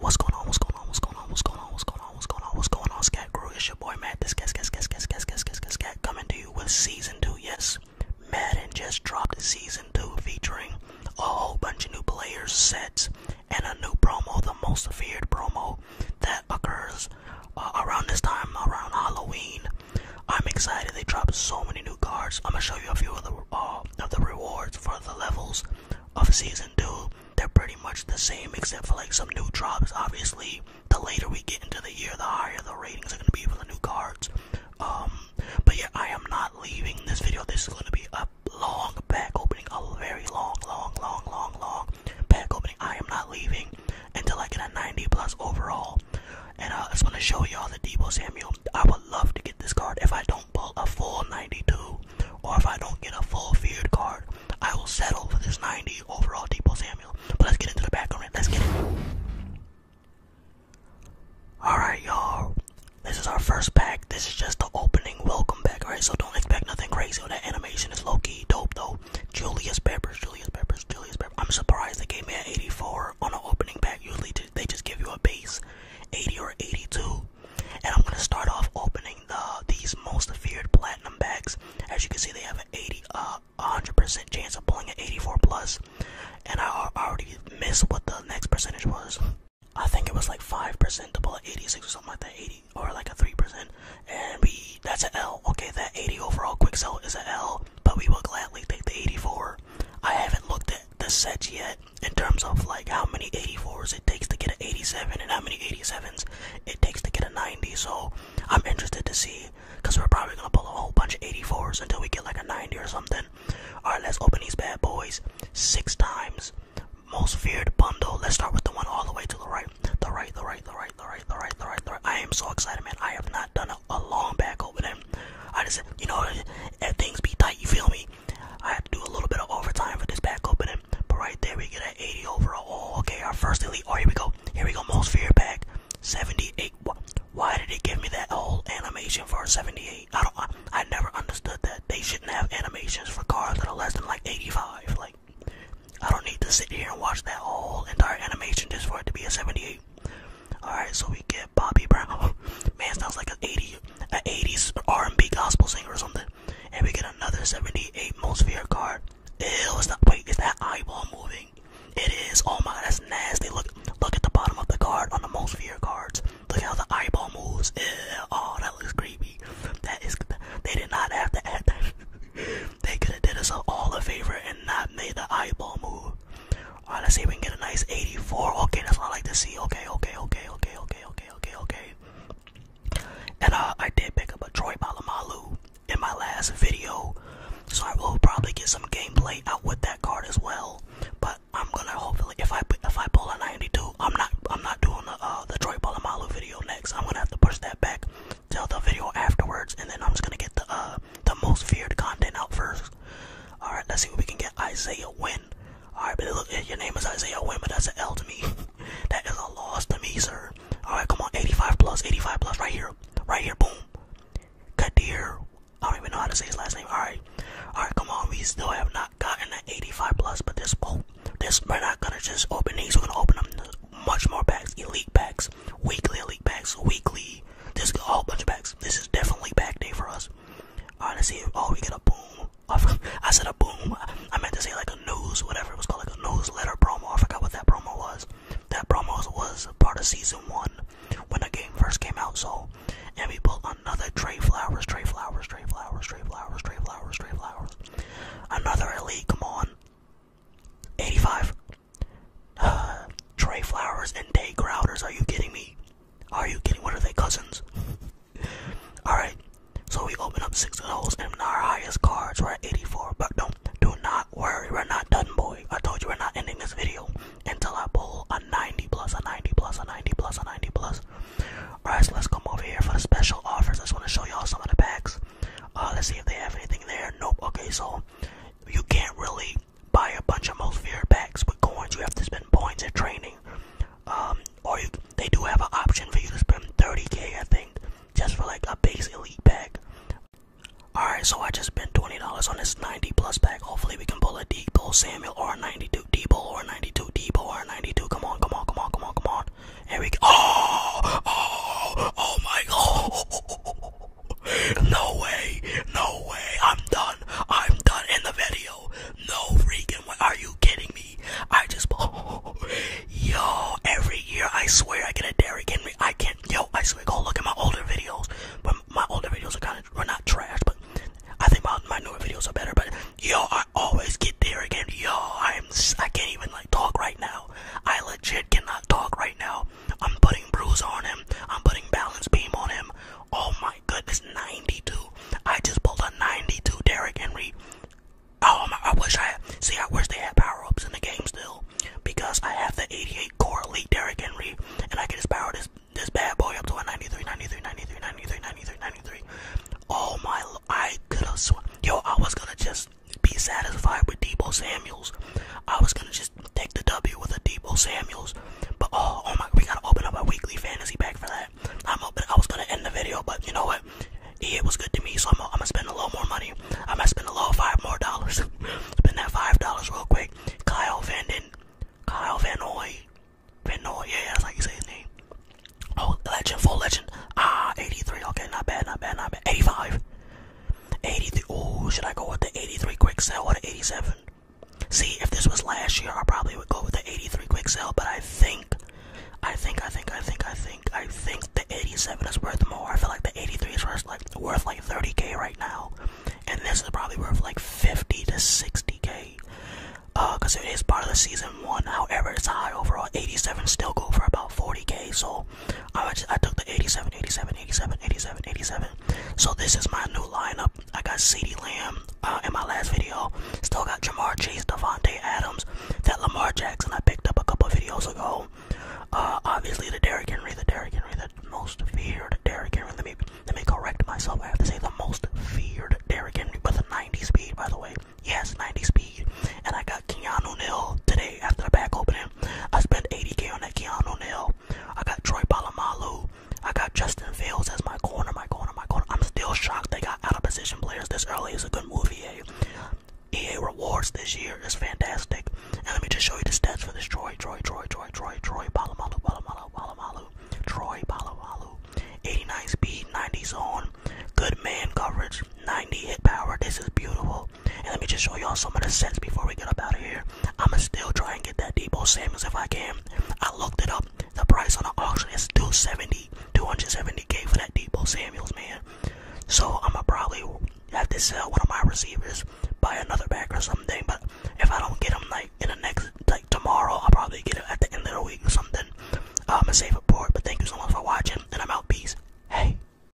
What's going on? What's going on? What's going on? What's going on? What's going on? What's going on? What's going on? Scat crew, it's your boy Matt. This cat, cat, cat, cat, cat, cat, cat, cat, coming to you with season two. Yes, Madden just dropped season two, featuring a whole bunch of new players, sets, and a new promo, the most feared promo that occurs uh, around this time, around Halloween. I'm excited. They dropped so many new cards. I'm gonna show you a few of the uh, of the rewards for the levels of season two, they're pretty much the same except for like some new drops. Obviously, the later we get into the year, the higher the ratings are gonna be for the new cards. Um, but yeah, I am not leaving this video. This is gonna be a long pack opening, a very long, long, long, long, long pack opening. I am not leaving until I get a 90 plus overall. And uh, I just want to show y'all the Debo Samuel. I would love to get this card if I don't pull a full 92 or if I don't get a full feared card, I will settle for this 90 overall Depot Samuel. But let's get into the it. Let's get it. Alright, y'all. This is our first pack. This is just the opening welcome pack, alright? So don't expect nothing crazy. Oh, that animation is low key dope, though. Julius Peppers, Julius Peppers, Julius Peppers. I'm surprised they gave me an 84 on an opening pack. Usually they just give you a base 80 or 82. And I'm gonna start off opening the these most feared platinum bags. As you can see, they have an 80, uh, 100% chance of pulling an 84 plus, and I already missed what the next percentage was. I think it was like 5% to pull an 86 or something like that, 80 or like a 3%, and we that's an L. Okay, that 80 overall quick sell is an L, but we will gladly take the 84. I haven't looked at the set yet in terms of like how many 84s it takes to get an 87 and how many 87s it takes to get a 90. So I'm interested to see because we're probably gonna pull a whole bunch of 84s until we get like a 90 or something. All right, let's open these bad boys six times. Most feared bundle. Let's start with the one all the way to the right. The right, the right, the right, the right, the right, the right, the right. I am so excited, man. I have not done a, long back opening. I just, you know, things be tight. You feel me? I had to do a little bit of overtime for this back opening, but right there we get an 80 overall. Oh, okay, our first elite. Oh, here we go. Here we go. Most fear pack. 78. Why did they give me that whole animation for a 78? I don't. I, I never understood that. They shouldn't have animations for cars that are less than like 85. Like, I don't need to sit here and watch that whole entire animation just for it to be a 78. All right, so we get Bobby Brown. Man sounds like an 80, an 80s R&B gospel singer or something. And we get another 78 most feared card. Ew, is that, wait, is that eyeball moving? It is. Oh my, that's nasty. Look, look at the bottom of the card on the most feared cards. Look how the eyeball moves. oh, that looks creepy. That is, they did not have to add that. they could have did us all a favor and not made the eyeball move. Alright, let's see if we can get a nice 84. Okay, that's what I like to see. Okay, okay, okay, okay, okay, okay, okay, okay. And uh, I did pick up a Troy Balamalu in my last video. So I will probably get some gameplay out with that card as well. But I'm gonna hopefully if I if I pull a 92, I'm not I'm not doing the uh the Troy Balamalu video next. I'm gonna have to push that back till the video afterwards and then I'm just gonna get the uh the most feared content out first. All right, let's see what we can get. Isaiah win. All right, but look, eh, your name is Isaiah win, but that's an L to me. that is a loss to me, sir. All right, come on, 85 plus, 85 plus, right here, right here, boom. Kadir. I don't even know how to say his last name. All right, all right, come on. We still have not gotten an 85 plus, but this boat, oh, this we're not gonna just open these. We're gonna open them much more packs, elite packs, weekly elite packs, weekly. This a bunch of packs. This is definitely back day for us. Honestly, oh, we get a boom. I said a boom. I meant to say like a news, whatever it was called, like a newsletter promo. I forgot what that promo was. That promo was part of season one when the game first came out. So, and we pulled another Trey Flowers, Trey Flowers, Trey Flowers, Trey Flowers, Trey Flowers, Trey Flowers. Another elite. Come on, 85. Trey Flowers and Day Crowders. Are you kidding me? Are you kidding? What are they, cousins? Alright, so we open up six of those and our highest cards were at 84. But don't, do not worry, we're not done, boy. I told you we're not ending this video until I pull a 90 plus, a 90 plus, a 90 plus, a 90 plus. Alright, so let's come over here for the special offers. I just want to show y'all some of the packs. Uh, let's see if they have anything there. Nope. Okay, so you can't really like buy a bunch of most feared packs with coins. You have to spend points at training. Um, or you, they do have an option for you to spend 30k, I think, just for like a base elite pack. Alright, so I just spent $20 on this 90 plus pack. Hopefully, we can pull a Debo Samuel or a 92 Debo or a 92 Debo or a 92. Come on, come on, come on, come on, come on. And we go. Oh, oh, oh my god. No way. No way. I'm done. I'm done in the video. No freaking way. Are you kidding me? I just. Oh, yo, every year I swear I get a Derrick Henry. I can't. Yo, I swear. Go look at my older videos. But my older videos are kind of. Well, not trash, but I think my, newer videos are better. But yo, I always get Derrick Henry. Yo, I'm. I can't even like talk right now. I legit cannot talk right now. I'm putting bruise on him. I'm putting balance beam on him. Oh my goodness, 92. I just pulled a 92 Derrick Henry. Oh my, I wish I had, see, I wish they had power ups in the game still because I have the 88 core elite Derrick Henry and I can just power this, this bad boy up to a 93, 93, 93, 93, 93, 93. Oh my, I could have sworn, yo, I was gonna just be satisfied with Debo Samuels. I was gonna just take the W with a Debo Samuels. But oh, oh my, we gotta open up our weekly fantasy pack for that. I'm open. I was gonna end the video, but you know what? EA was good to me, so I'm, I'm gonna spend a little more money. i might spend a little five more dollars. spend that five dollars real quick. Kyle Van Den, Kyle Van Noy, Van Noy. Yeah, that's how you say his name. Oh, legend, full legend. Ah, 83. Okay, not bad, not bad, not bad. 85. 83. Ooh, should I go with the 83 quick sell or the 87? See, if this was last year, I probably would go with the 83 quick sell, but I think, I think, I think, I think, I think, I think the 87 is worth more. I feel like the 83 is worth like worth like 30k right now, and this is probably worth like 50 to 60k. Uh, cause it is part of the season one. However, it's high overall. 87 still go for about 40k, so I took the 87, 87, 87, 87, 87. So this is my new lineup. I got CeeDee Lamb uh, in my last video. Still got Jamar Chase, Devontae Adams, that Lamar Jackson I picked up a couple videos ago. Uh, obviously the Derrick Henry, the Derrick Henry, the most feared Derrick Henry. Let me correct myself. I have to say the most feared Derrick Henry with a 90 speed, by the way. Yes, 90 speed. And I got Keanu Neal today day after the back opening. I spent 80k on that Keanu Neal. I got Troy Polamalu. I got Justin Fields as my corner, my corner, my corner. I'm still shocked they got out of position players this early. It's a good move, EA. Eh? EA rewards this year is fantastic. And let me just show you the stats for this Troy, Troy, Troy, Troy, Troy, Troy, Polamalu, Polamalu, Polamalu, Troy, Polamalu. 89 speed, 90 zone, good man coverage, 90 hit power. This is beautiful. And let me just show y'all some of the sets before we get up out of here. I'ma still try and get that Debo Samuels if I can. I looked it up. The price on the auction is 270, 270k for that Debo Samuels, man. So I'ma probably have to sell one of my receivers, buy another back or something. But if I don't get them like in the next, like tomorrow, I'll probably get it at the end of the week or something. I'ma save a port. But thank you so much for watching, and I'm out. Peace. Hey.